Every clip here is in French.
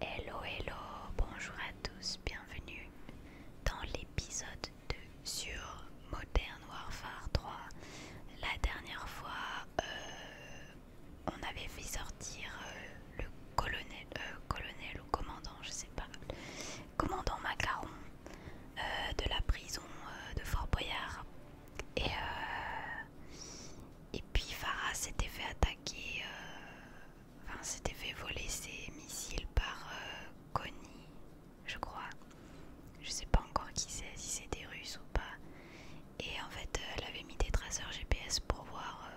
Hello hello, bonjour à tous, bienvenue dans l'épisode 2 sur Modern Warfare 3. La dernière fois, euh, on avait fait sortir euh, le colonel, euh, colonel ou commandant, je sais pas, commandant Macaron de la prison de Fort Boyard. Et, et puis Farah s'était fait attaquer, euh, enfin s'était fait voler ses missiles par euh, Connie, je crois. Je sais pas encore qui c'est, si c'est des Russes ou pas. Et en fait, euh, elle avait mis des traceurs GPS pour voir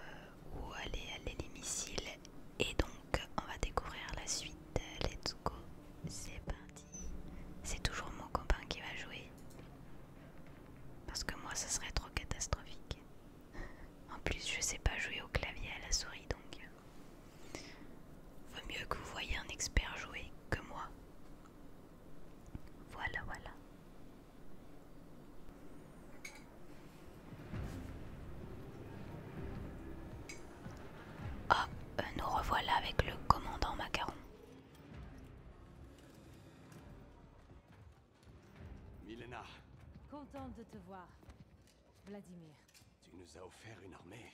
où allaient aller les missiles. Et donc, on va découvrir la suite. Let's go, c'est parti. C'est toujours mon copain qui va jouer. Parce que moi, ce serait trop catastrophique. En plus, je sais pas jouer au clavier à la souris donc. Euh, vaut mieux que vous voyez un expert jouer que moi. Voilà, voilà. Ah, euh, nous revoilà avec le commandant Macaron. Milena. Contente de te voir. Vladimir. Tu nous as offert une armée.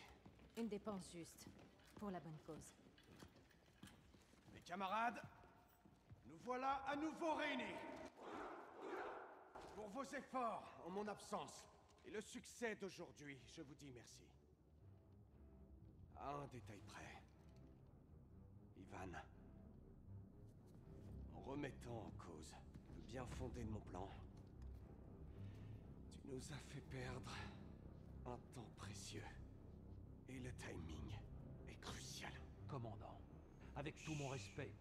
Une dépense juste. Pour la bonne cause. Mes camarades, nous voilà à nouveau réunis. Pour vos efforts en mon absence et le succès d'aujourd'hui, je vous dis merci. À un détail près. Ivan, en remettant en cause le bien fondé de mon plan, tu nous as fait perdre un temps précieux. Et le timing est crucial. Commandant, avec tout mon respect.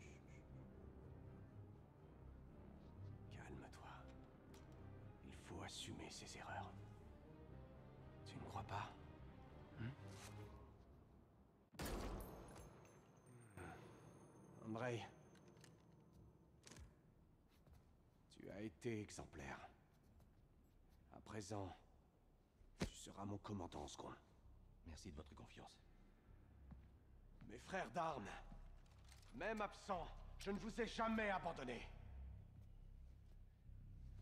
Calme-toi. Il faut assumer ses erreurs. Tu ne crois pas hein Hmm. Andrei, tu as été exemplaire. À présent, tu seras mon commandant en ce coin. Merci de votre confiance. Mes frères d'armes, même absents, je ne vous ai jamais abandonné.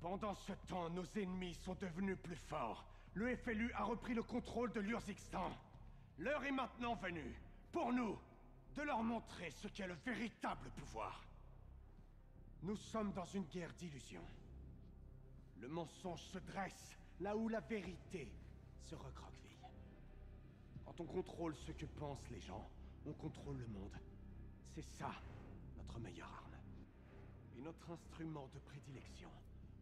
Pendant ce temps, nos ennemis sont devenus plus forts le FLU a repris le contrôle de l'Urzikstan L'heure est maintenant venue, pour nous, de leur montrer ce qu'est le véritable pouvoir. Nous sommes dans une guerre d'illusions. Le mensonge se dresse là où la vérité se recroqueville. Quand on contrôle ce que pensent les gens, on contrôle le monde. C'est ça, notre meilleure arme et notre instrument de prédilection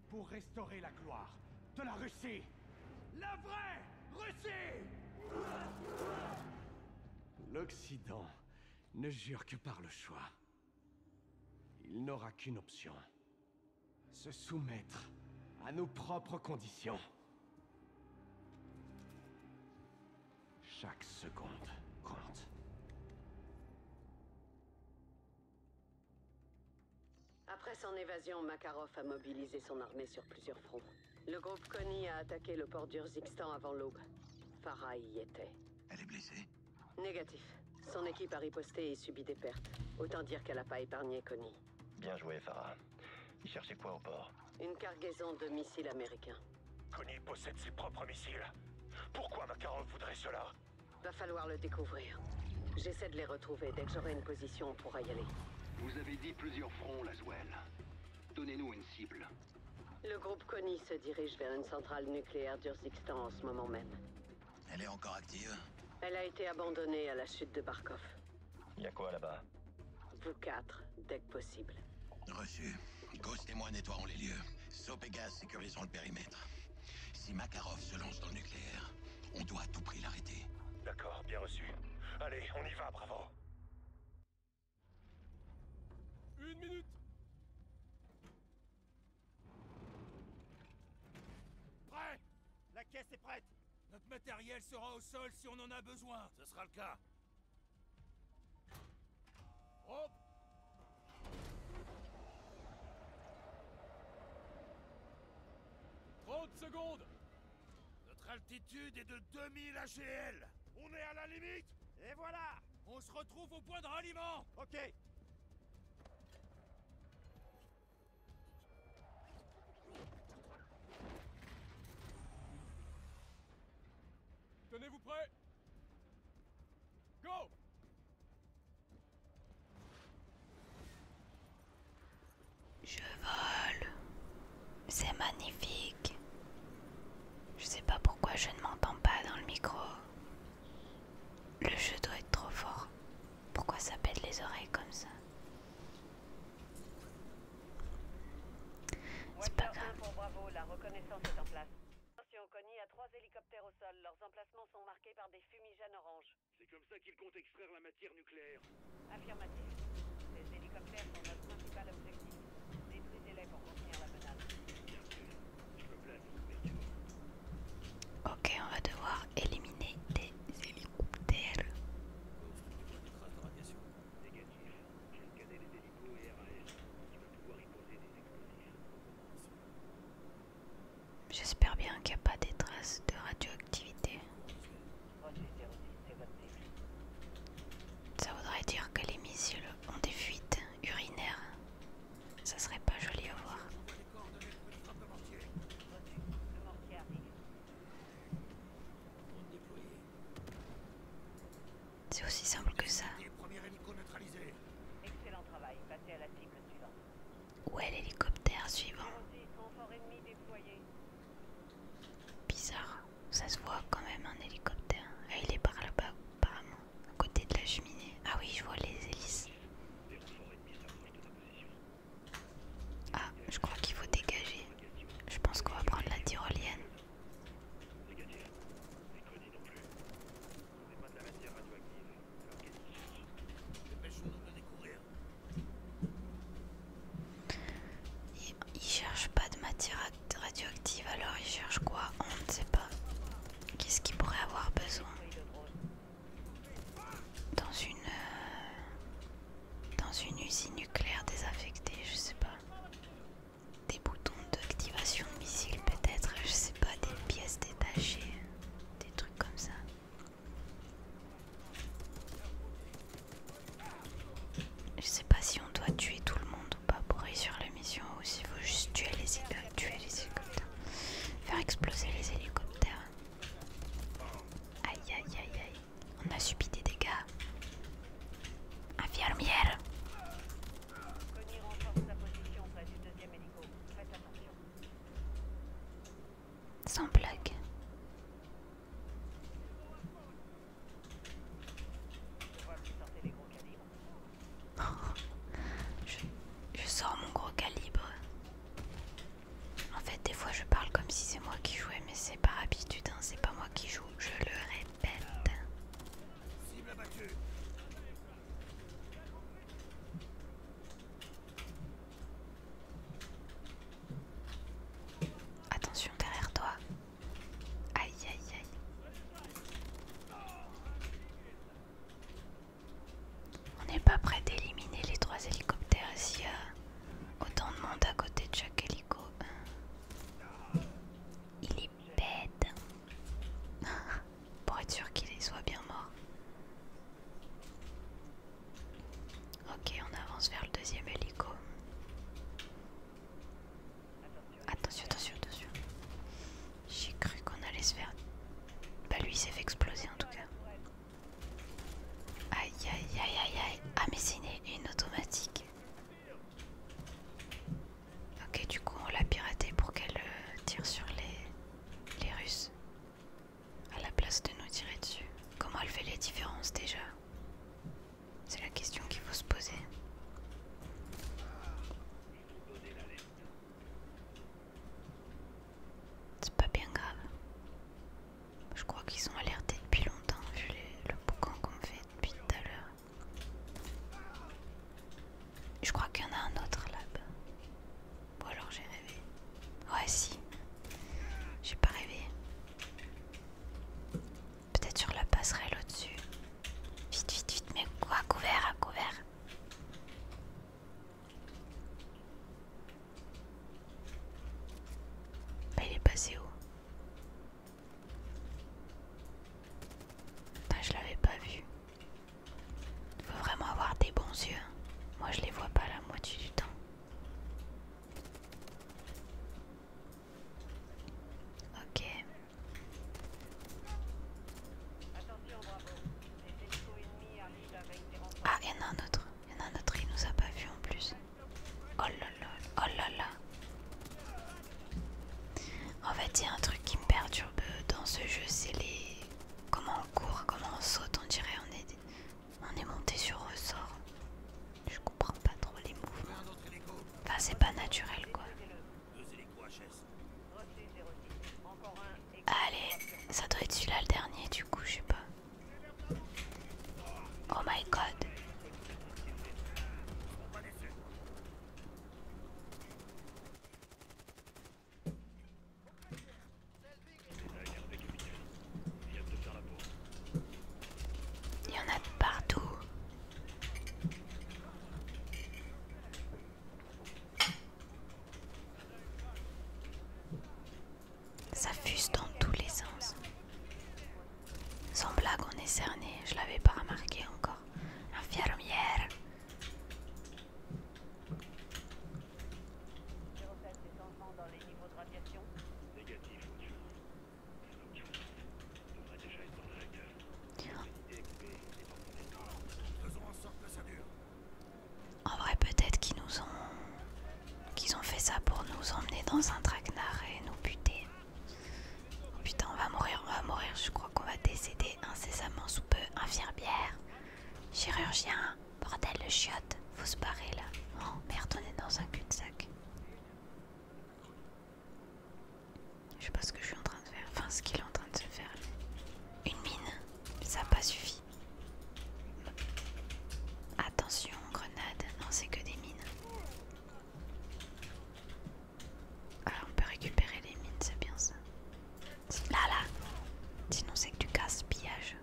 pour restaurer la gloire de la Russie. La vraie Russie L'Occident ne jure que par le choix. Il n'aura qu'une option. Se soumettre à nos propres conditions. Chaque seconde compte. Après son évasion, Makarov a mobilisé son armée sur plusieurs fronts. Le groupe Connie a attaqué le port d'Urzikstan avant l'aube. Farah y était. Elle est blessée Négatif. Son équipe a riposté et subit des pertes. Autant dire qu'elle n'a pas épargné Connie. Bien joué, Farah. Il cherchait quoi au port Une cargaison de missiles américains. Connie possède ses propres missiles. Pourquoi Makarov voudrait cela Va falloir le découvrir. J'essaie de les retrouver dès que j'aurai une position, on pourra y aller. Vous avez dit plusieurs fronts, Laswell. Donnez-nous une cible. Le groupe Connie se dirige vers une centrale nucléaire d'Urzikstan en ce moment même. Elle est encore active Elle a été abandonnée à la chute de Barkov. Y a quoi là-bas Vous quatre, dès que possible. Reçu. Ghost et moi nettoierons les lieux. Sopegas sécurisons le périmètre. Si Makarov se lance dans le nucléaire, on doit à tout prix l'arrêter. D'accord, bien reçu. Allez, on y va, bravo. Une minute Prêt La caisse est prête Notre matériel sera au sol si on en a besoin. Ce sera le cas. 30 secondes Notre altitude est de 2000 AGL On est à la limite Et voilà On se retrouve au point de ralliement Ok Tenez-vous prêts Go je vole. C'est magnifique. Je sais pas pourquoi je ne m'entends pas dans le micro. Le jeu doit être trop fort. Pourquoi ça pète les oreilles comme ça C'est pas grave incursion Connie à trois hélicoptères au sol. Leurs emplacements sont marqués par des fumigènes orange. C'est comme ça qu'ils comptent extraire la matière nucléaire. Affirmatif. Ces hélicoptères sont notre principal objectif. Détruisez-les pour contenir la menace. Bien sûr. Je me place Ok, on va devoir éliminer des hélicoptères. Négatif. J'ai scanné les hélicos et RAS. Je vais pouvoir y poser des explosifs. J'espère bien qu'il n'y a pas des traces de radioactivité. Ça voudrait dire que les missiles ont des fuites urinaires. Ça serait pas joli à voir. C'est aussi simple que ça. Excellent travail, passez à la cible suivante. Où est l'hélicoptère suivant Bizarre, ça se voit quand même un hélicoptère. Ah, il est par là-bas, apparemment, à côté de la cheminée. Ah oui, je vois les hélices. Ah, je crois qu'il faut dégager. Je pense qu'on va prendre la tyrolienne. Il cherche pas de matière radioactive, alors il cherche quoi On ne sait pas. Qu'est-ce qu'il pourrait avoir besoin Dans une... Euh, dans une usine nucléaire désaffectée, je sais pas. Des boutons d'activation de missiles peut-être, je sais pas, des pièces détachées des trucs comme ça. Je sais pas si on doit tuer tout le monde ou pas pour réussir la mission ou s'il faut juste tuer les, tuer les hélicoptères. Faire exploser les hélicoptères. Aïe aïe aïe aïe. On a subi des dégâts. Infirmière. Faites attention. Sans blague. je, sors mon gros calibre. En fait, des fois, je parle comme si c'est moi qui jouais, mais c'est par habitude, hein. c'est pas moi qui joue. Je le répète. Attention derrière toi. Aïe aïe aïe. On n'est pas prêt d'éliminer les trois hélicoptères s'il y a autant de monde à côté de chaque hélico. Il est bête. pour être sûr qu'il soit bien mort. Ok, on avance vers le deuxième hélico. Attention, attention, attention. J'ai cru qu'on allait se faire... Bah lui il s'est fait exploser en tout cas. Aïe aïe aïe aïe aïe. Ah mais c'est une, automatique. Ok du coup on l'a piraté pour qu'elle euh, tire sur les... Les Russes, à la place de nous tirer dessus, comment elle fait les différences déjà C'est la question qu'il faut se poser. C'est pas bien grave. Je crois qu'ils sont alertés depuis longtemps vu le boucan qu'on fait depuis tout à l'heure. Je crois qu'il y en a un autre là-bas. Ou alors j'ai rêvé. Ouais si. J'ai pas rêvé. Peut-être sur la passerelle au-dessus. Vite, vite, vite, mais quoi couvert, à couvert. Bah, il est passé où bah, je l'avais pas vu il Faut vraiment avoir des bons yeux. Moi je les vois pas la moitié du temps. Ok. Ah, il y en a un autre. Il y en a un autre, il nous a pas vu en plus. Oh là là, oh là là. En fait, il y a un truc qui me perturbe dans ce jeu, c'est les. Comment cours comment on saute, on dirait on est, on est monté sur ressort. Je comprends pas trop les mouvements. Enfin, c'est pas naturel quoi. Allez, ça doit être celui-là le dernier du coup, je sais pas. Oh my god. Il y en a de partout. Ça fuse dans tous les sens. Sans blague, on est cerné. Je l'avais pas remarqué encore. Infirmière. En vrai, peut-être qu'ils nous ont, qu'ils ont fait ça pour nous emmener dans un traquenard et nous buter. putain, on va mourir, on va mourir. Je crois qu'on va décéder incessamment sous peu, infirmière. Chirurgien, bordel le chiotte, faut se barrer là. Oh merde, on est dans un cul-de-sac. Je sais pas ce que je suis en train de faire, enfin ce qu'il est en train de se faire. Une mine, ça n'a pas suffi. Attention, grenade, non c'est que des mines. Alors ah, on peut récupérer les mines, c'est bien ça. Là, là. Sinon, c'est que du casse-pillage.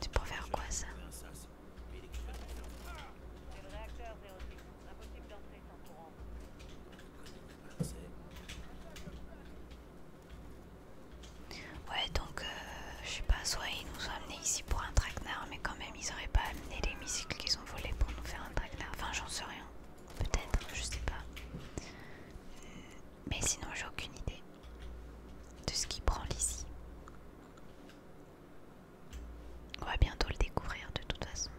C'est pour faire quoi ça Ouais, donc euh, je sais pas, soit ils nous ont amenés ici pour un traquenard, mais quand même ils auraient pas amené les missiles qu'ils ont volés pour nous faire un traquenard. Enfin, j'en sais rien. Peut-être, je sais pas. Euh, mais sinon, j'ai aucune idée de ce qui prend l'ici. On va bientôt le découvrir de toute façon.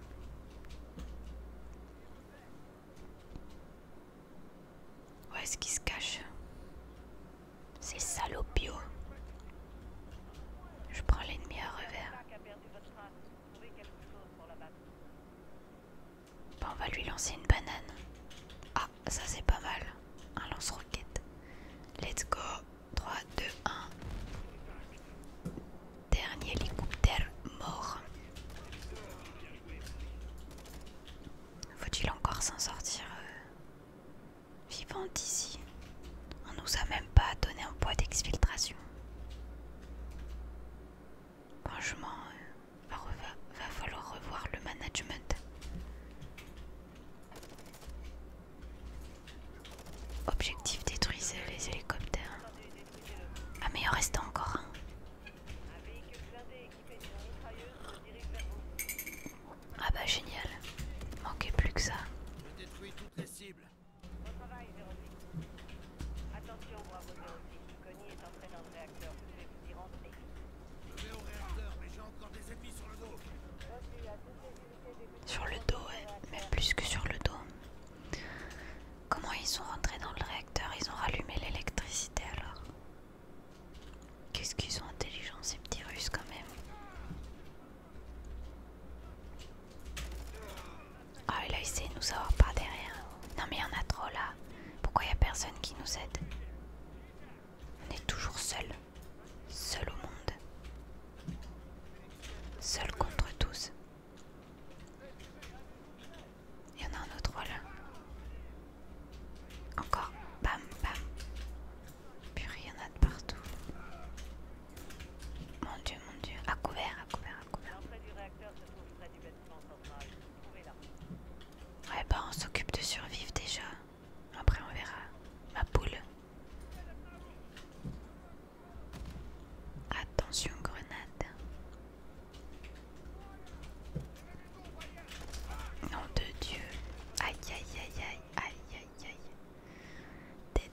Où est-ce qu'il se cache C'est salopio. Je prends l'ennemi à revers. Bon, bah, on va lui lancer une banane. Ah, ça c'est pas mal. Un lance-roquette. Let's go. 3, 2, 1. Dernier hélicoptère mort. Faut-il encore s'en sortir euh, vivante ici On nous a même pas donné un poids d'exfiltration. Franchement, euh, va, falloir revoir le management. Objectif détruisez les hélicoptères. Ah mais il en reste encore un. Ah bah génial. Manquait plus que ça. Je sur le dos. Sur même plus que sur le dos. Comment ils sont rentrés dans le réacteur Ils ont rallumé l'électricité alors. Qu'est-ce qu'ils sont intelligents ces petits russes quand même. Ah il là essayé de nous avoir par derrière. Non mais il y en a trop là. Pourquoi il a personne qui nous aide On est toujours seul. Seul au monde. Seul contre tous. Il y en a un autre, voilà. Encore. Bam, bam. Purée, rien y de partout. Mon dieu, mon dieu. À couvert, à couvert, à couvert. Ouais bah on s'occupe de survivre déjà. Après on verra. Ma poule. Attention grenade. Nom de Dieu. Aïe aïe aïe aïe aïe aïe aïe. Dead.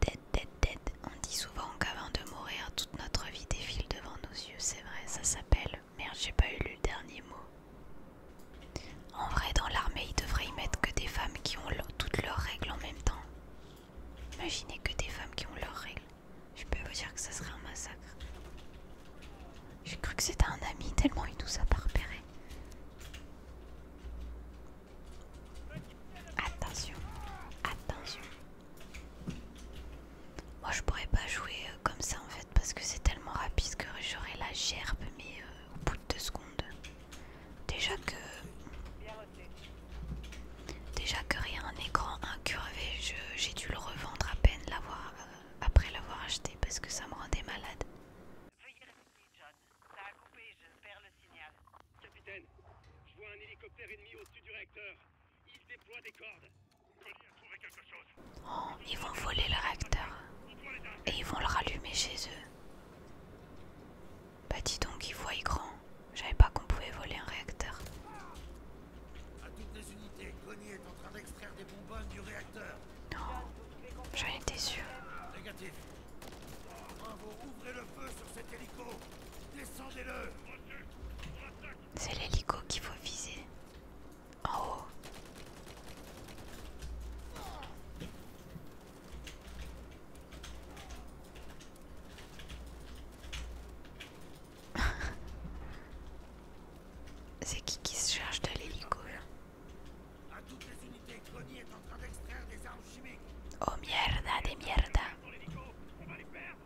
Dead, dead, dead. On dit souvent qu'avant de mourir, toute notre vie défile devant nous c'est vrai, ça s'appelle. Merde, j'ai pas eu le dernier mot. En vrai, dans l'armée, ils devraient y mettre que des femmes qui ont toutes leurs règles en même temps. Imaginez que des femmes qui ont leurs règles. Je peux vous dire que ça serait un massacre. J'ai cru que c'était un ami tellement il nous a pas repéré. Attention, attention. Moi je pourrais pas jouer euh, comme ça en fait parce que c'est tellement rapide que j'aurais la gerbe mais euh, au bout de deux secondes. Déjà que... Déjà que rien un grand incurvé, j'ai dû le revendre à peine l'avoir euh, après l'avoir acheté parce que ça me rendait malade. Veuillez John. Ça a je perds le signal. Capitaine, je vois un hélicoptère ennemi au-dessus du réacteur. Ils déploient des cordes. Connie a trouvé quelque chose. Oh, ils vont voler le réacteur. Et ils vont le rallumer chez eux. Bah dis donc, ils voient grand. J'avais pas qu'on pouvait voler un réacteur. À toutes les unités, Connie est en train d'extraire des bonbonnes du réacteur. Non, j'en étais sûr. Négatif. Bravo, ouvrez le feu sur cet hélico. Descendez-le. C'est l'hélico qu'il faut viser. En haut. C'est qui qui se charge de l'hélico hein? À toutes les unités, Connie est en train d'extraire des armes chimiques. Oh merde, des merdes on va les perdre.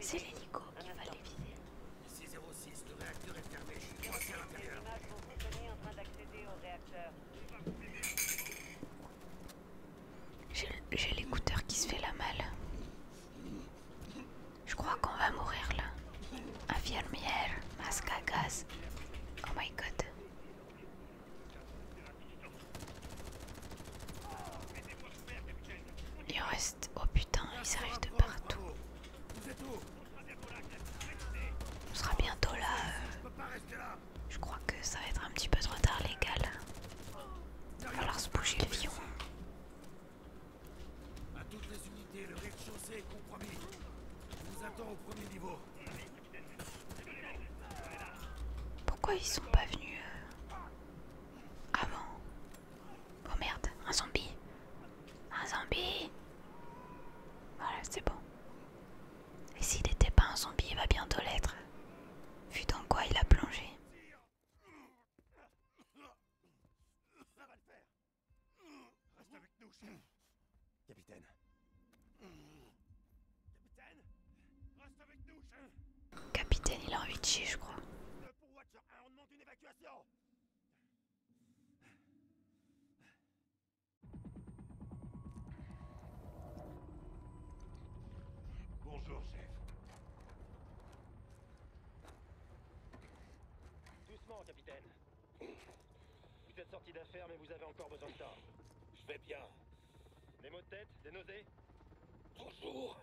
C'est l'hélico qui va les l'éviter. J'ai l'écouteur qui se fait la mal. Je crois qu'on va mourir là. Infirmière, masque à gaz. Oh my god il reste. Oh putain, ils arrivent de partout. On sera bientôt là. Euh. Je crois que ça va être un petit peu trop tard, légal. gars. Il va falloir se bouger le viron. les unités, Pourquoi ils sont pas venus euh ah bon Oh merde, un zombie Un zombie Voilà, c'est bon. Et s'il n'était pas un zombie, il va bientôt l'être. Vu dans quoi il a plongé. Capitaine Reste avec nous, chef Capitaine, il a envie de chier, je crois. Le pour Watcher 1, on demande une évacuation Bonjour, chef. Doucement, capitaine. Vous êtes sorti d'affaires, mais vous avez encore besoin de temps. Je vais bien. Des maux de tête Des nausées Bonjour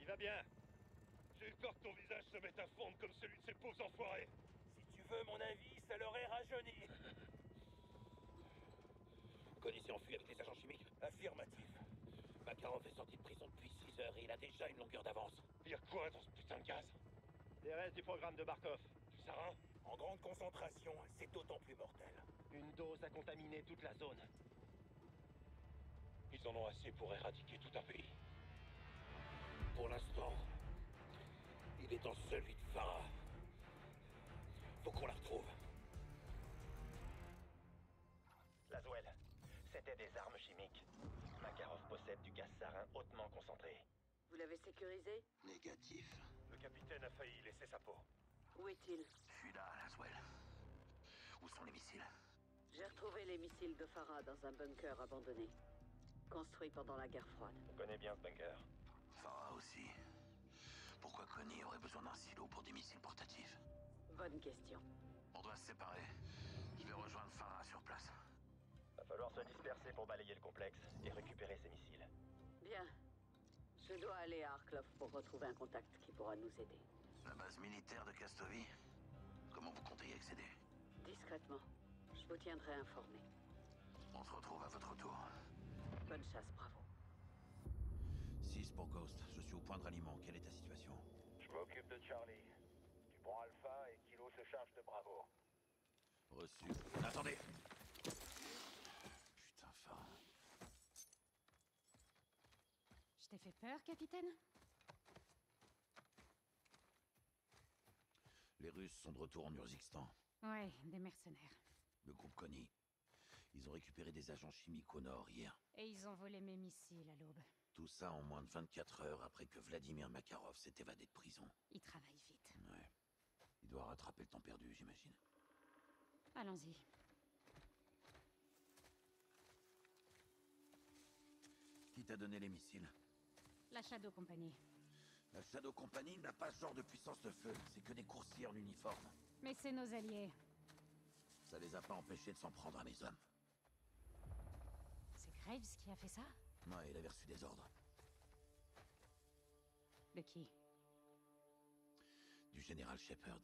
Il va bien J'ai eu peur que ton visage se mette à fondre comme celui de ces pauvres enfoirés Si tu veux mon avis, ça leur est rajeuni connaissez en enfui avec les agents chimiques Affirmatif. Makarov est sorti de prison depuis 6 heures et il a déjà une longueur d'avance. Il quoi dans ce putain de gaz Les restes du programme de Barkov. ça, hein En grande concentration, c'est d'autant plus une dose a contaminé toute la zone. Ils en ont assez pour éradiquer tout un pays. Pour l'instant, il est dans celui de Farah. Faut qu'on la retrouve. Laswell, c'était des armes chimiques. Makarov possède du gaz sarin hautement concentré. Vous l'avez sécurisé Négatif. Le capitaine a failli laisser sa peau. Où est-il Je suis là, Où sont les missiles J'ai retrouvé les missiles de Farah dans un bunker abandonné. Construit pendant la guerre froide. On bien ce bunker. Farah aussi. Pourquoi Connie aurait besoin d'un silo pour des missiles portatifs Bonne question. On doit se séparer. Je vais rejoindre Farah sur place. Va falloir se disperser pour balayer le complexe et récupérer ses missiles. Bien. Je dois aller à Arklov pour retrouver un contact qui pourra nous aider. La base militaire de Castovie Comment vous comptez y accéder Discrètement. Je vous tiendrai informé. On se retrouve à votre tour. Bonne chasse, bravo. 6 pour Ghost, je suis au point de ralliement. Quelle est ta situation Je m'occupe de Charlie. Tu prends Alpha et Kilo se charge de Bravo. Reçu. Attendez Putain, fin je t'ai fait peur, capitaine Les Russes sont de retour en Urzikstan. Ouais, des mercenaires. Le groupe Connie. Ils ont récupéré des agents chimiques au nord hier. Et ils ont volé mes missiles à l'aube. Tout ça en moins de 24 heures après que Vladimir Makarov s'est évadé de prison. Il travaille vite. Ouais. Il doit rattraper le temps perdu, j'imagine. Allons-y. Qui t'a donné les missiles La Shadow Company. La Shadow Company n'a pas ce genre de puissance de feu. C'est que des coursiers en uniforme. Mais c'est nos alliés. Ça les a pas empêchés de s'en prendre à mes hommes. C'est Graves qui a fait ça moi il avait reçu des ordres. De qui Du général Shepard.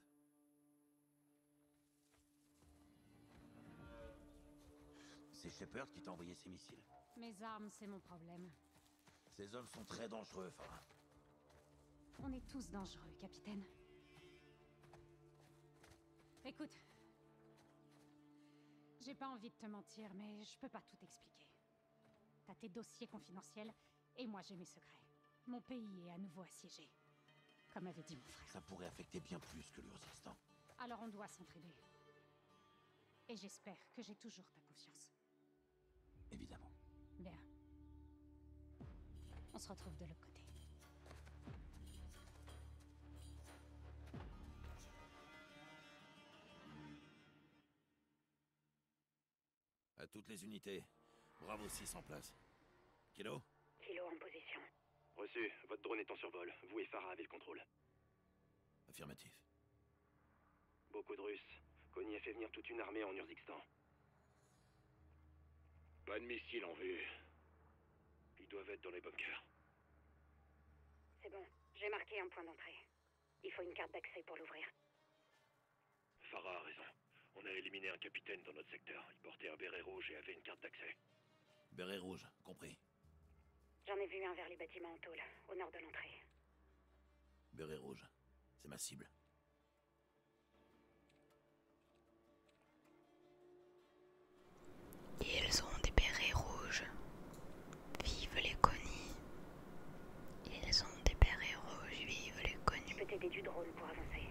C'est Shepard qui t'a envoyé ces missiles. Mes armes, c'est mon problème. Ces hommes sont très dangereux, Farah. On est tous dangereux, capitaine. Écoute. J'ai pas envie de te mentir, mais je peux pas tout expliquer. T'as tes dossiers confidentiels, et moi, j'ai mes secrets. Mon pays est à nouveau assiégé. Comme avait dit mon frère. Ça pourrait affecter bien plus que le instant. Alors on doit s'entraider. Et j'espère que j'ai toujours ta confiance. Évidemment. Bien. On se retrouve de l'autre côté. À toutes les unités. Bravo 6 en place. Kilo Kilo en position. Reçu. Votre drone est en survol. Vous et Farah avez le contrôle. Affirmatif. Beaucoup de Russes. Kony a fait venir toute une armée en Urzikstan. Pas de missiles en vue. Ils doivent être dans les bunkers. C'est bon. J'ai marqué un point d'entrée. Il faut une carte d'accès pour l'ouvrir. Farah a raison. On a éliminé un capitaine dans notre secteur. Il portait un béret rouge et avait une carte d'accès. Béret rouge, compris. J'en ai vu un vers les bâtiments en tôle, au nord de l'entrée. Béret rouge, c'est ma cible. Ils ont des bérets rouges. Vive les conis. Ils ont des pères héros les connus. Je peux t'aider du drôle pour avancer.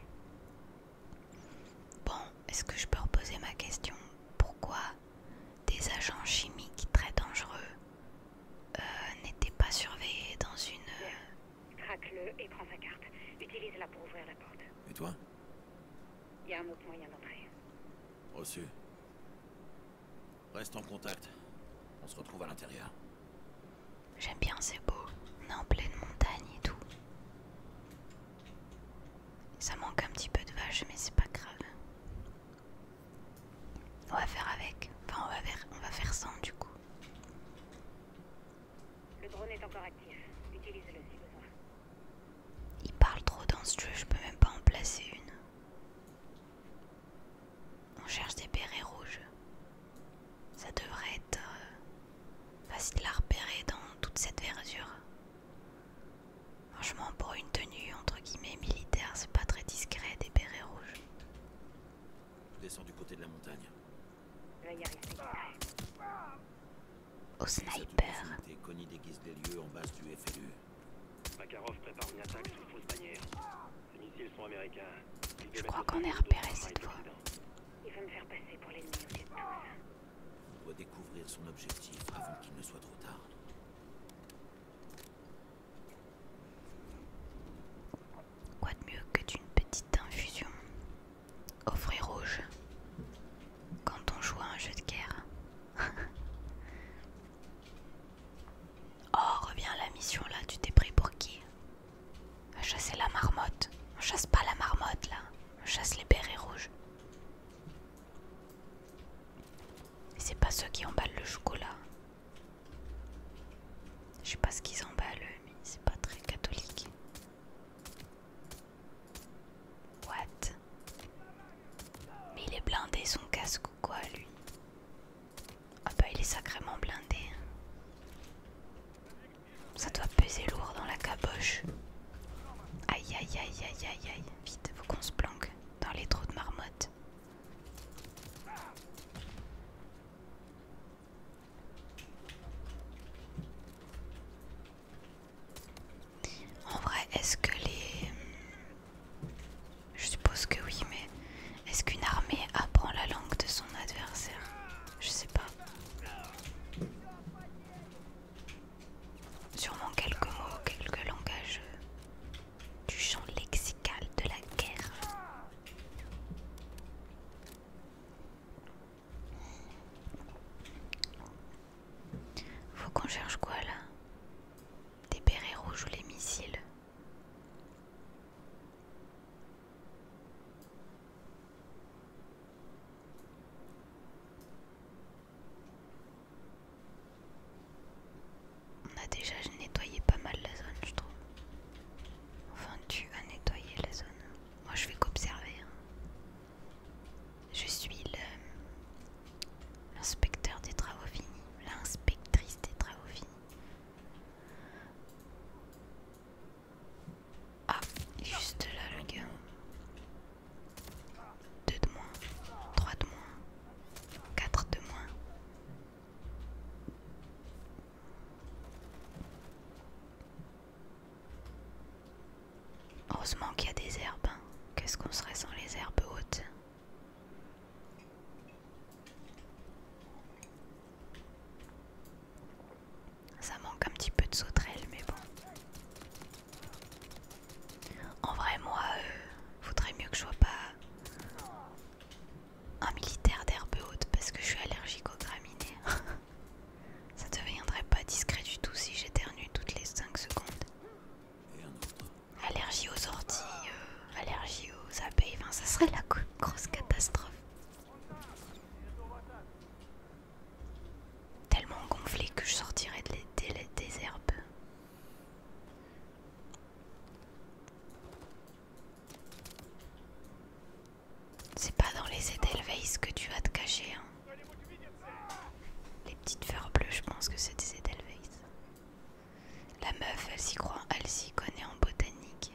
Bon, est-ce que je peux reposer ma question Pourquoi des agents chimiques très dangereux euh, n'étaient pas surveillés dans une... Euh, Craque-le et prends sa carte. Utilise-la pour ouvrir la porte. Et toi Il y a un autre moyen d'entrer. Reçu. Reste en contact. On se retrouve à l'intérieur. J'aime bien, c'est beau. On est en pleine montagne et tout. Ça manque un petit peu de vache, mais c'est pas grave. On va faire avec. Enfin, on va faire, on va faire sans du coup. Le drone est encore actif. Utilise-le Il parle trop dans ce jeu, je peux même pas en placer une. On cherche des bérets rouges. Ça devrait être euh, facile à repérer dans toute cette verdure. Franchement, pour une tenue entre guillemets militaire, c'est pas très discret des bérets rouges. descends du côté de la montagne. Au sniper. Je crois qu'on est repéré cette fois. Il veut me faire passer pour l'ennemi au de tous. On doit découvrir son objectif avant qu'il ne soit trop tard. Quoi de mieux que d'une petite infusion au rouge quand on joue à un jeu de guerre Oh, reviens à la mission là, tu t'es pris pour qui Chasser la marmotte. On chasse pas la marmotte là. On chasse les berets rouges. C'est pas ceux qui emballent le chocolat. Je sais pas ce qu'ils emballent, mais c'est pas très catholique. What? Mais il est blindé son casque ou quoi lui? Ah bah il est sacrément blindé. Ça doit peser lourd dans la caboche. Aïe aïe aïe aïe aïe aïe. Vite, faut qu'on se planque dans les trous de marmotte. En vrai, est-ce que les... Hmm, je suppose que oui, mais est-ce qu'une armée apprend la langue de son adversaire Je sais pas. Sûrement quelques mots, quelques langages du champ lexical de la guerre. Faut qu'on cherche quoi là Des bérets rouges ou les missiles on a déjà nettoyé pas mal la zone, je trouve. Enfin, tu as nettoyé la zone. Moi, je vais qu'observer. Hein. Je suis l'inspecteur des travaux finis, l'inspectrice des travaux finis. Ah, il juste là le gars. Deux de moins, trois de moins, quatre de moins. Heureusement qu'il y a des herbes. Hein. Qu'est-ce qu'on serait sans les herbes hautes ça manque un petit peu de sauterelle, mais bon. En vrai, moi, euh, faudrait mieux que je sois pas un militaire d'herbe haute parce que je suis allergique aux graminées. Ça deviendrait pas discret du tout si j'éternue toutes les 5 secondes. Allergie aux orties, euh, allergie aux abeilles, ça serait la grosse catastrophe. Tellement gonflé que je sortirais de des, des, herbes. C'est pas dans les Edelweiss que tu vas te cacher. Hein. Les petites fleurs bleues, je pense que c'est des Edelweiss. La meuf, elle s'y croit, elle s'y connaît en botanique.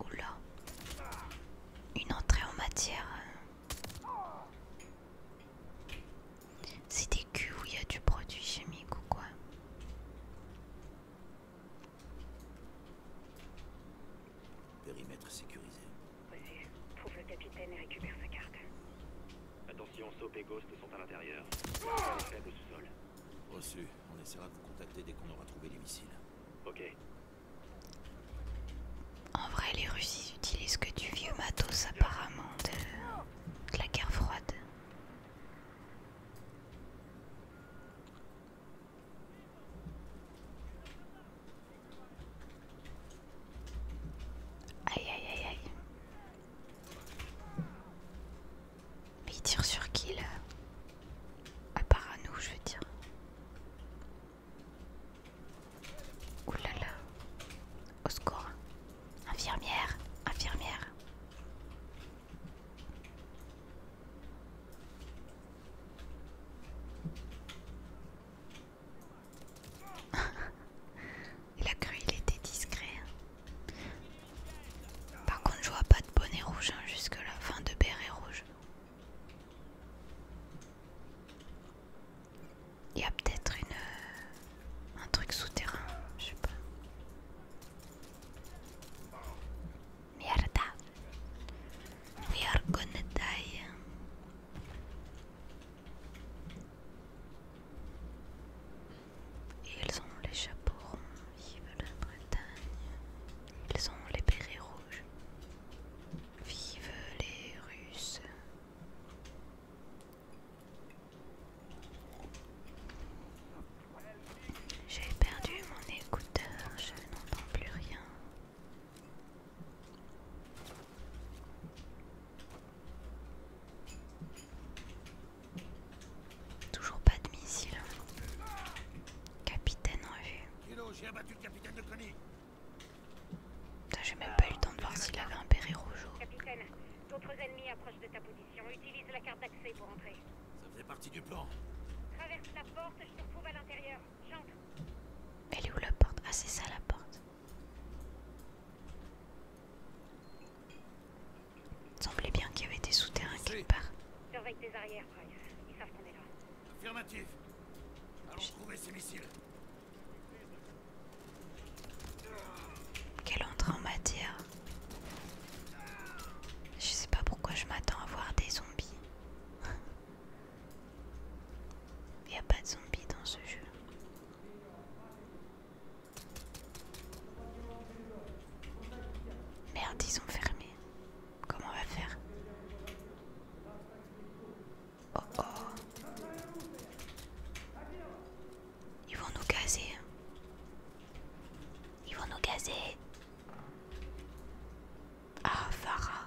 Oula. Une entrée en matière. Hein. C'est des culs où il y a du produit chimique ou quoi Périmètre sécurisé trouve le capitaine et récupère sa carte. Attention, Sop et Ghost sont à l'intérieur. Reçu. On essaiera de vous contacter dès qu'on aura trouvé les missiles. Ok. En vrai, les Russes utilisent que du vieux matos apparemment de la guerre froide. Aïe aïe aïe aïe. Mais il tire sur qui là À part à nous, je veux dire. Ouh là là. Au secours. Infirmière, infirmière. il a cru il était discret. Hein. Par contre, je vois pas de bonnet rouge hein, jusque là, fin de beret rouge. Il y a peut-être une euh, un truc souterrain, je sais pas. Mierda, we are gonna die. Ils ont les chapeaux ronds, vive la Bretagne. Ils ont les bérets rouges, vive les Russes. J'ai perdu mon écouteur, je n'entends plus rien. Toujours pas de missile. Capitaine en vue. J'ai abattu le capitaine de Connie. J'ai même pas eu le temps de voir s'il avait un béret rouge. Capitaine, d'autres ennemis approchent de ta position. Utilise la carte d'accès pour entrer. Ça faisait partie du plan. Traverse la porte, je te retrouve à l'intérieur. J'entre. Elle est où la porte Ah, c'est ça la porte. Il semblait bien qu'il y avait des souterrains quelque part. Allons ces missiles. Quel en matière. Je sais pas pourquoi je m'attends à voir des zombies. Il n'y a pas de zombies dans ce jeu. Merde, ils ont fermé. Comment on va faire oh, oh Ils vont nous gazer. Ils vont nous gazer. Ah, Farah.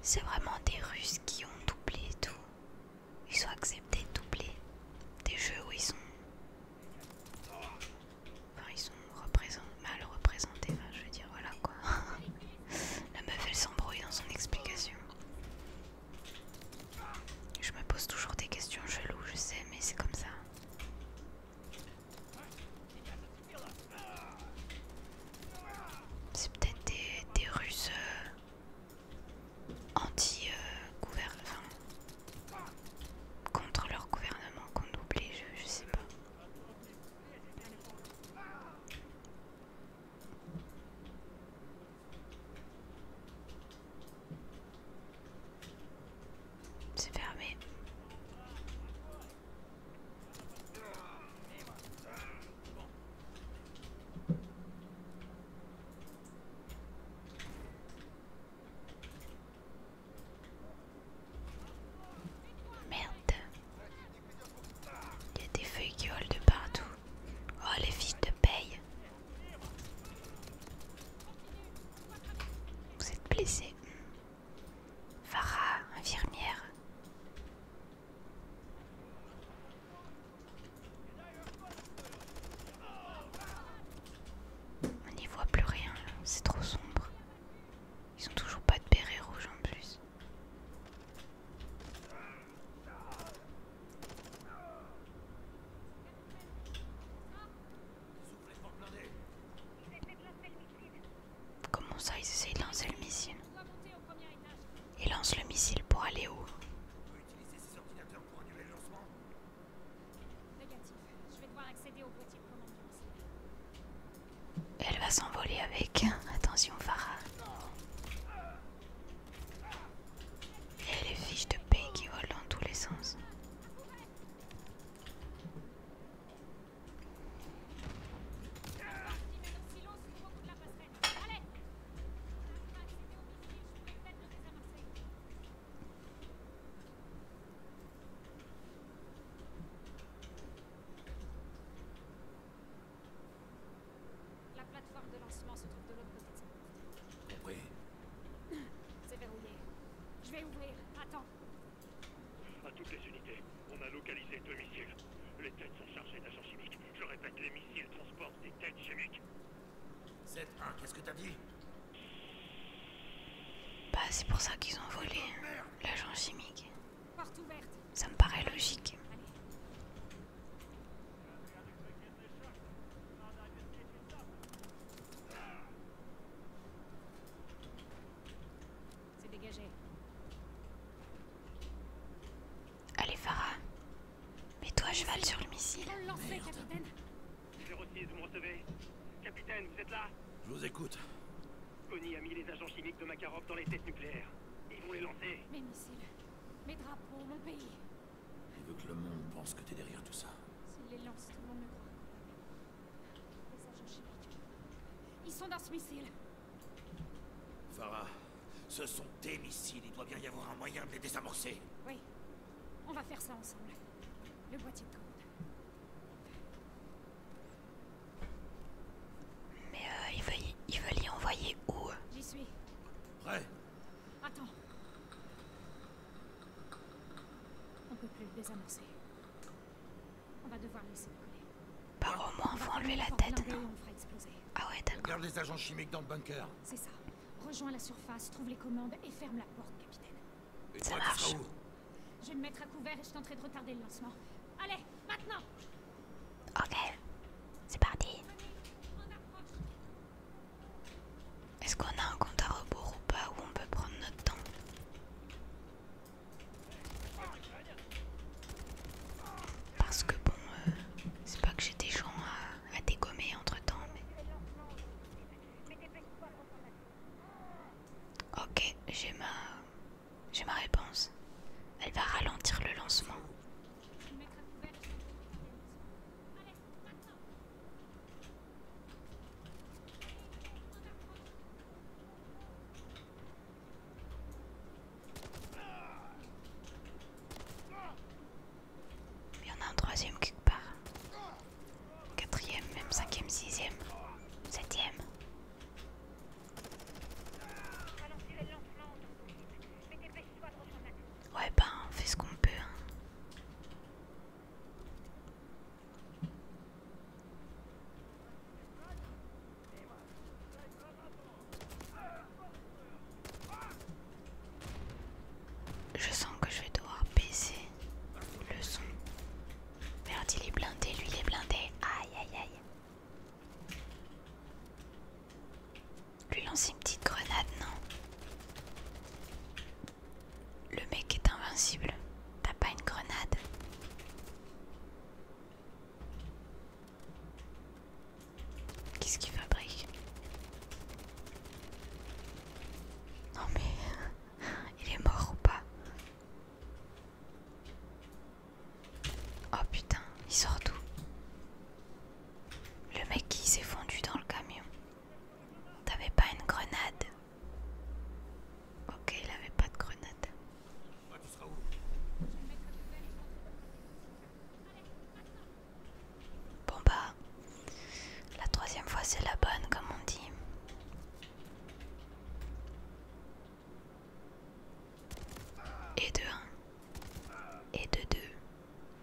C'est vraiment des Russes qui ont doublé tout. Ils ont accepté de doubler des jeux où ils sont. Enfin, ils sont mal représentés, je veux dire, voilà quoi. La meuf elle s'embrouille dans son explication. Je me pose toujours des questions cheloues, je sais, mais c'est comme ça. C'est peut-être des, Russes euh, anti-gouvernement, enfin, contre leur gouvernement qu'on oublie, je sais pas. C'est fermé. Merde. Il y a des feuilles qui volent de partout. Oh les filles de paye. Vous êtes blessé. Farah, infirmière. On n'y voit plus rien, c'est trop sombre. Ils ont toujours pas de béret rouge en plus. Comment ça, ils essayent de lancer le missile Ils lance le missile pour aller où Elle va s'envoler avec. Attention, Farah. Et les fiches de paix qui volent dans tous les sens. Forme de lancement se trouve de l'autre côté de Compris. C'est verrouillé. Je vais ouvrir. Attends. À toutes les unités, on a localisé deux missiles. Les têtes sont chargées d'agents chimiques. Je répète, les missiles transportent des têtes chimiques. Z1, hein, qu'est-ce que t'as dit Bah, c'est pour ça qu'ils ont volé hein, l'agent chimique. Porte ouverte. Ça me paraît logique. Allez. C'est dégagé. Allez, Farah. mets toi, cheval sur le missile. le lancer, capitaine. 06, vous me recevez Capitaine, vous êtes là Je vous écoute. Connie a mis les agents chimiques de Makarov dans les tests nucléaires. Ils vont les lancer. Mes missiles, mes drapeaux, mon pays. Il veut que le monde pense que t'es derrière tout ça. S'il les lance, tout le monde me croit. Les agents chimiques. Ils sont dans ce missile. Farah, ce sont tes missiles. Il doit bien y avoir un moyen de les désamorcer. Oui. On va faire ça ensemble. Le boîtier de commande. Mais euh, il, veut y, envoyer où euh J'y suis. Prêt Attends. On ne peut plus le désamorcer. On va devoir laisser couler. Par au moins faut enlever la tête, non Ah ouais, d'accord. Garde les agents chimiques dans le bunker. C'est ça. Rejoins la surface, trouve les commandes et ferme la porte, capitaine. ça marche. je vais me mettre à couvert et je tenterai de retarder le lancement. Allez, maintenant Ok. C'est parti. Est-ce qu'on a un compte à rebours ou pas où on peut prendre notre temps Parce que bon, euh, c'est pas que j'ai des gens à, dégommer entre temps, Ok, j'ai ma... J'ai ma réponse. Elle va ralentir le lancement. Il y en a un troisième quelque part. Quatrième, même cinquième, sixième, septième. Ouais, ben on fait ce qu'on peut. Hein. Je sens que je vais devoir baisser le son. Merde, il est blindé, lui il est blindé. Aïe aïe aïe. Lui lancer une petite grenade, non Le mec est invincible. T'as pas une grenade Qu'est-ce qu'il fabrique Non mais... Il est mort ou pas Oh putain, il sort d'où Le mec qui s'est fondu dans le camion. T'avais pas une grenade Ok, il avait pas de grenade. Bah, bon bah, la troisième fois c'est la bonne comme on dit. Et de un Et de deux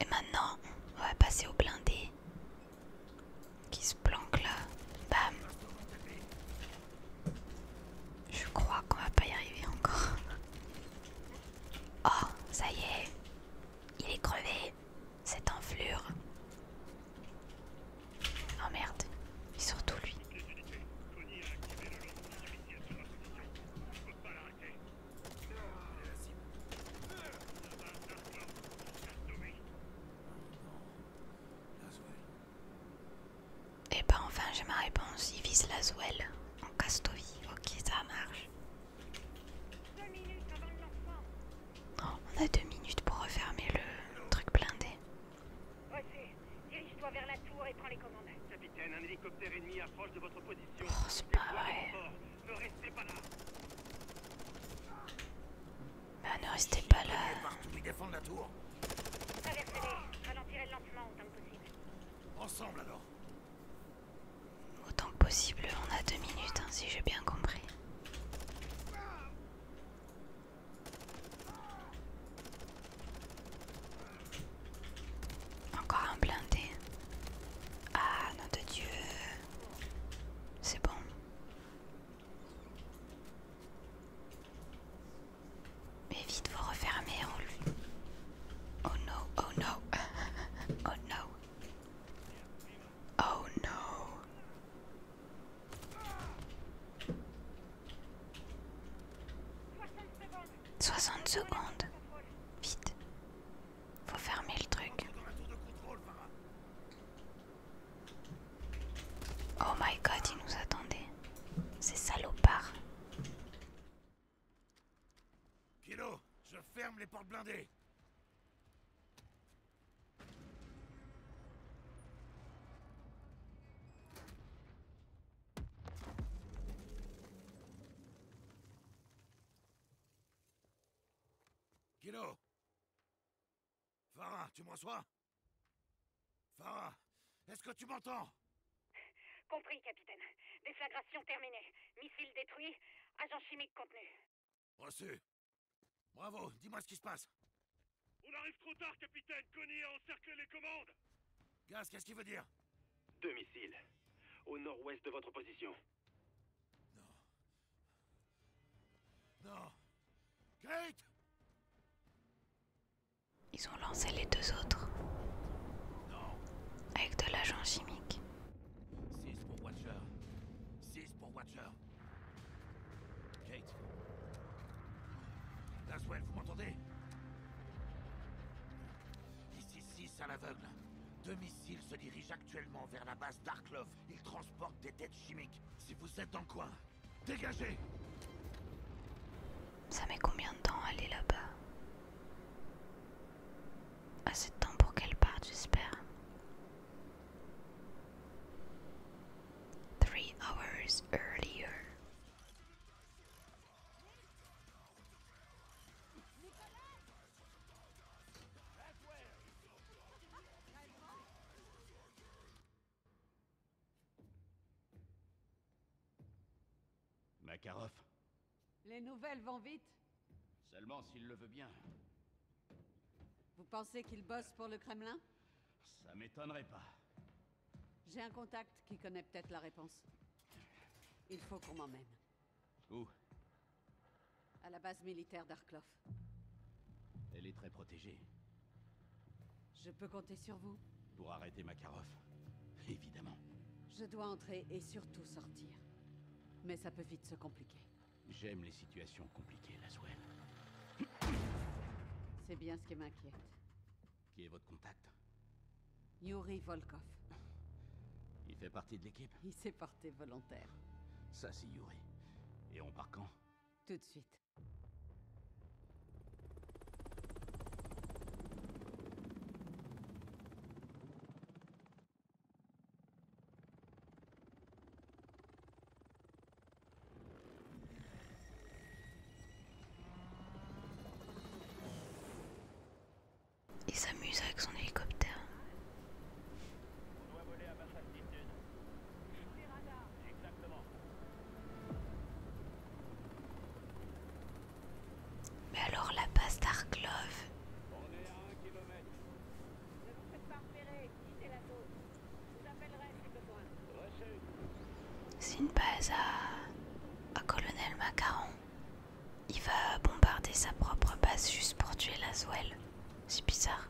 Et maintenant, on va passer au blindé qui se planque là. Bam. Je crois qu'on va pas y arriver encore. Oh, ça y est. Il est crevé. Cette enflure. Oh merde. Et surtout lui. Et bah ben enfin j'ai ma réponse, ils visent la Zouelle en Castovie, ok ça marche. minutes avant Oh, on a deux minutes pour refermer le truc blindé. Dirige-toi vers la tour et prends les commandes. Capitaine, un hélicoptère ennemi approche de votre position. Oh, c'est pas ne restez pas là. Bah ne restez pas là. Qui défendre la tour. Traversez-les, ralentirez lentement autant que possible. Ensemble alors. Autant que possible, on a deux minutes, hein, si j'ai bien compris. Encore un blindé. Ah, non de Dieu. C'est bon. Mais vite, vous refermez en lui. Oh no, oh no. oh no. Oh no. 60 secondes. Vite. Faut fermer le truc. Oh my god, il nous attendait. C'est salopards. Kilo, je ferme les portes blindées. Kilo Farah, tu m'en sois Farah, est-ce que tu m'entends Compris, capitaine. Déflagration terminée. Missile détruit. Agent chimique contenu. Reçu. Bravo, dis-moi ce qui se passe. On arrive trop tard, capitaine. Connie a encerclé les commandes. Gaz, qu'est-ce qu'il veut dire Deux missiles. Au nord-ouest de votre position. Non. Non. Kate Ils ont lancé les deux autres. Non. Avec de l'agent chimique. 6 pour Watcher. 6 pour Watcher. Kate. Laswell, vous m'entendez Ici 6 à l'aveugle. Deux missiles se dirigent à actuellement vers la base love Il transporte des têtes chimiques. Si vous êtes en quoi coin, dégagez Ça met combien de temps aller là-bas Assez de temps pour qu'elle parte, j'espère. 3 hours earlier. Makarov Les nouvelles vont vite Seulement s'il le veut bien. Vous pensez qu'il bosse pour le Kremlin Ça m'étonnerait pas. J'ai un contact qui connaît peut-être la réponse. Il faut qu'on m'emmène. Où À la base militaire d'Arklov. Elle est très protégée. Je peux compter sur vous Pour arrêter Makarov. Évidemment. Je dois entrer et surtout sortir. Mais ça peut vite se compliquer. J'aime les situations compliquées, Laswell. C'est bien ce qui m'inquiète. Qui est votre contact Yuri Volkov. Il fait partie de l'équipe Il sait pas volontaire. Ça, c'est Yuri. Et on part quand Tout de suite. Il s'amuse avec son hélicoptère. On doit voler à basse altitude. Sous les Exactement. Mais alors la base d'Arklov. On est à un kilomètre. Ne vous faites pas repérer, quittez la zone. Je vous appellerai si besoin. C'est une base à Colonel Macaron. Il va bombarder sa propre base juste pour tuer la Zoël. C'est bizarre.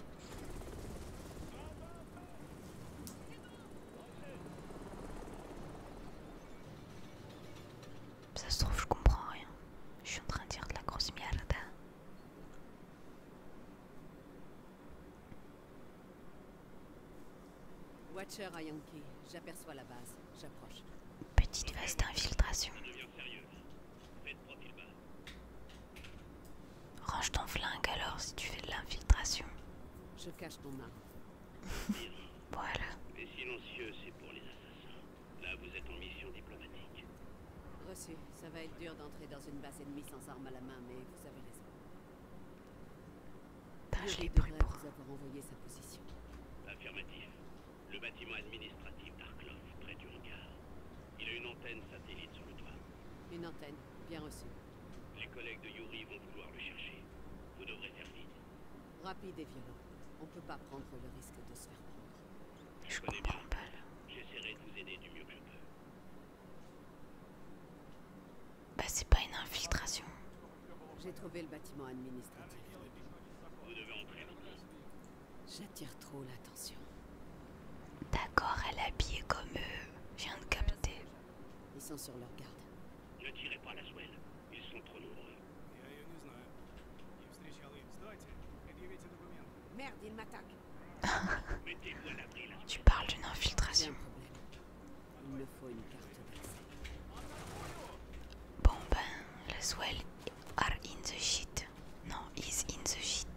Ça se trouve, je comprends rien. Je suis en train de dire de la grosse merde. Watcher Yankee, j'aperçois la base, j'approche. Petite phase d'infiltration. Range ton flingue alors si tu fais de l'infiltration. Je cache ton arme. voilà. Les silencieux, c'est pour les assassins. Là, vous êtes en mission diplomatique. Reçu. Ça va être dur d'entrer dans une base ennemie sans arme à la main, mais vous avez raison. tant je l'ai pris pour. Vous avoir envoyé sa position. Affirmatif. Le bâtiment administratif d'Arklov, près du hangar. Il a une antenne satellite sur le toit. Une antenne, bien reçue. Les collègues de Yuri vont vouloir le chercher. Vous devrez faire vite. Rapide et violent. On ne peut pas prendre le risque de se faire prendre. Je, connais bien. pas J'essaierai de vous aider du mieux que je peux. Bah c'est pas une infiltration. J'ai trouvé le bâtiment administratif. Vous devez entrer maintenant. J'attire trop l'attention. D'accord, elle habillait comme eux. Je viens de capter. Ils sont sur leur garde. Ne tirez pas la souelle. Ils sont trop nombreux. Merde, ils m'attaquent. tu parles d'une infiltration. Il me faut une carte. Bon ben, la suelle are in the shit. Non, is in the shit.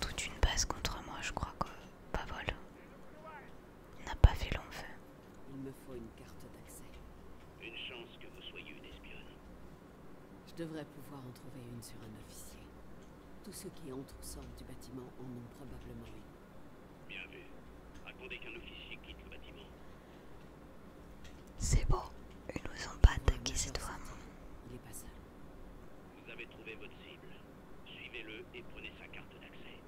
Toute une base contre moi, je crois que pas n'a pas fait long feu. Il me faut une carte d'accès. Une chance que vous soyez une espionne. Je devrais pouvoir en trouver une sur un officier. Tous ceux qui entrent ou sortent du bâtiment en ont probablement une. Bien vu. Racontez qu'un officier quitte le bâtiment. C'est beau. ils nous ont pas attaqué cette femme. Il est pas seul. Vous avez trouvé votre cible. Suivez-le et prenez sa carte d'accès.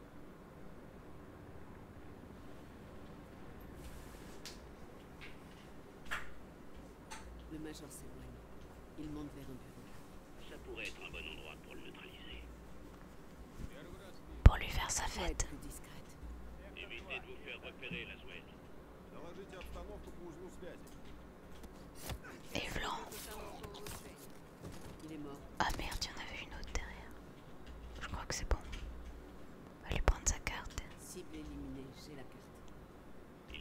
Le major s'éloigne. Il monte vers un bureau. Ça pourrait être un bon endroit pour le neutraliser. Pour lui faire sa fête. Évitez Et blanc Il est mort. Ah merde, il y en avait une autre derrière. Je crois que c'est bon. On va lui prendre sa carte.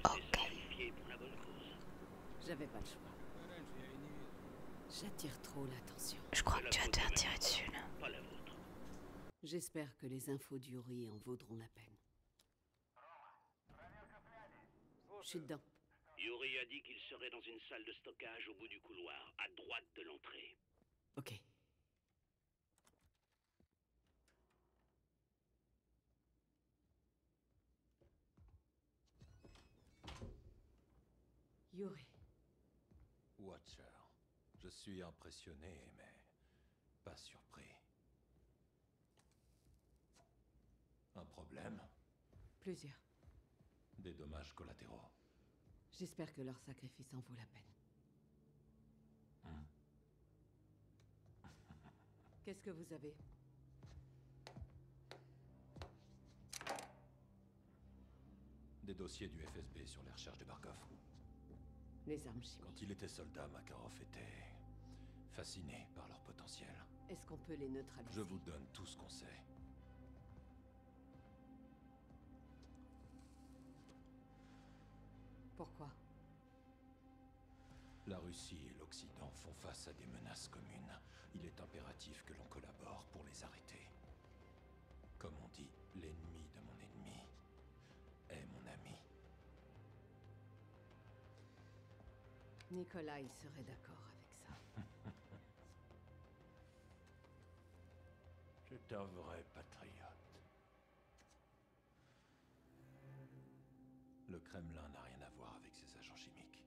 ok. J'attire trop l'attention. Je crois que tu vas te faire tirer dessus là. J'espère que les infos d'Yuri en vaudront la peine. Je suis dedans. Yuri a dit qu'il serait dans une salle de stockage au bout du couloir, à droite de l'entrée. Ok. Yuri. Watcher. Je suis impressionné, mais pas surpris. Un problème Plusieurs. Des dommages collatéraux. J'espère que leur sacrifice en vaut la peine. Hmm. Qu'est-ce que vous avez des dossiers du FSB sur les recherches de Barkov. Les armes chimiques. Quand il était soldat, Makarov était... fasciné par leur potentiel. Est-ce qu'on peut les neutraliser Je vous donne tout ce qu'on sait. Pourquoi La Russie et l'Occident font face à des menaces communes. Il est impératif que l'on collabore pour les arrêter. Comme on dit, l'ennemi de mon ennemi est eh, mon ami. Nicolas, il serait d'accord avec ça. C'est un vrai patriote. Le Kremlin n'a rien à voir avec ses agents chimiques.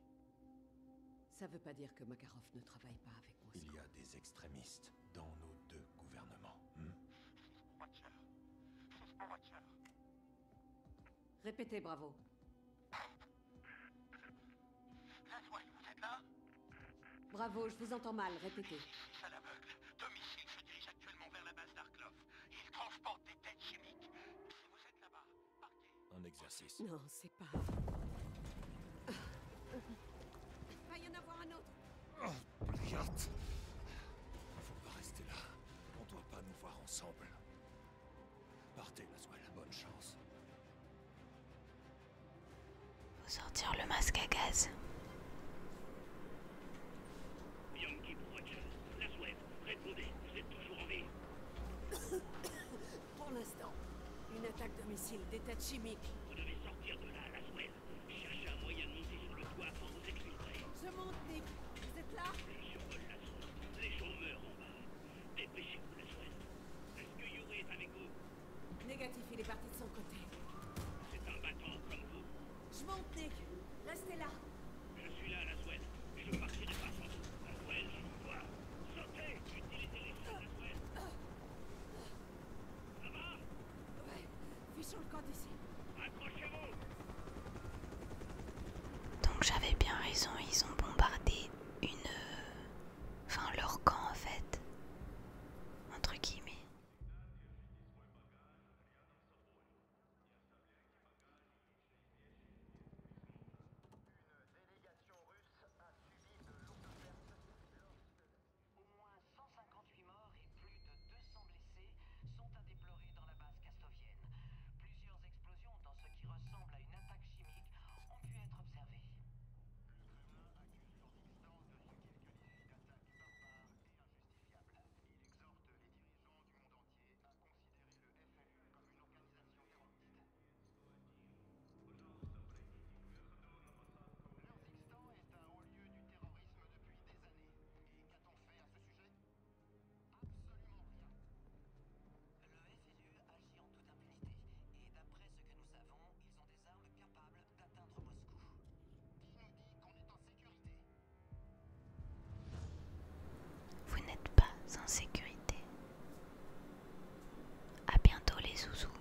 Ça veut pas dire que Makarov ne travaille pas avec il y a des extrémistes dans nos deux gouvernements. Hmm Répétez, bravo. Laswell, vous êtes là Bravo, je vous entends mal, répétez. À l'aveugle, deux missiles se dirigent actuellement vers la base d'Arklov. Ils transportent des têtes chimiques. Si vous êtes là-bas, partez. Un exercice. Non, c'est pas... Il va y en avoir un autre. Ah. Blyat Faut pas rester là. On doit pas nous voir ensemble. Partez, la Bonne chance. Faut sortir le masque à gaz. Yankee la Laswell, répondez, vous êtes toujours en vie. Pour l'instant, une attaque de missiles des têtes chimiques. Vous devez sortir de là, la Laswell. Cherchez un moyen de monter sur le toit pour vous exclurez. Je monte, Nick. Vous êtes là Les missions la source. Les gens meurent en bas. Dépêchez-vous, la suède. Est-ce que Yuri est avec vous Négatif, il est parti de son côté. C'est un battant, comme vous. Je monte, Nick. Restez là. Je suis là, la suède. Je veux marcher de face en La suède, je vous vois. Sautez Utilisez-les, c'est la suède. Ça va Ouais, fichons le camp d'ici. Accrochez-vous. Donc j'avais bien raison, ils ont bombardé une enfin leur camp en fait. Entre guillemets. Une délégation russe a subi de l'eau de perte de l'ordre du au moins 158 morts et plus de 200 blessés sont à déplorer dans la base castovienne. Plusieurs explosions, dans ce qui ressemble à une attaque chimique, ont pu être observées. Le Kremlin accuse l'Ukraine de quelques-unes d'attaques barbares et injustifiables. Il exhorte les dirigeants du monde entier à considérer le FMI comme une organisation terroriste. est un haut lieu du terrorisme terrorisme depuis des années. Et qu'a-t-on fait à ce sujet Absolument rien. Le FLU agit en toute impunité. Et d'après ce que nous savons, ils ont des armes capables d'atteindre Moscou. Qui nous dit qu'on est en sécurité Vous n'êtes pas en sécurité. A bientôt les zouzous.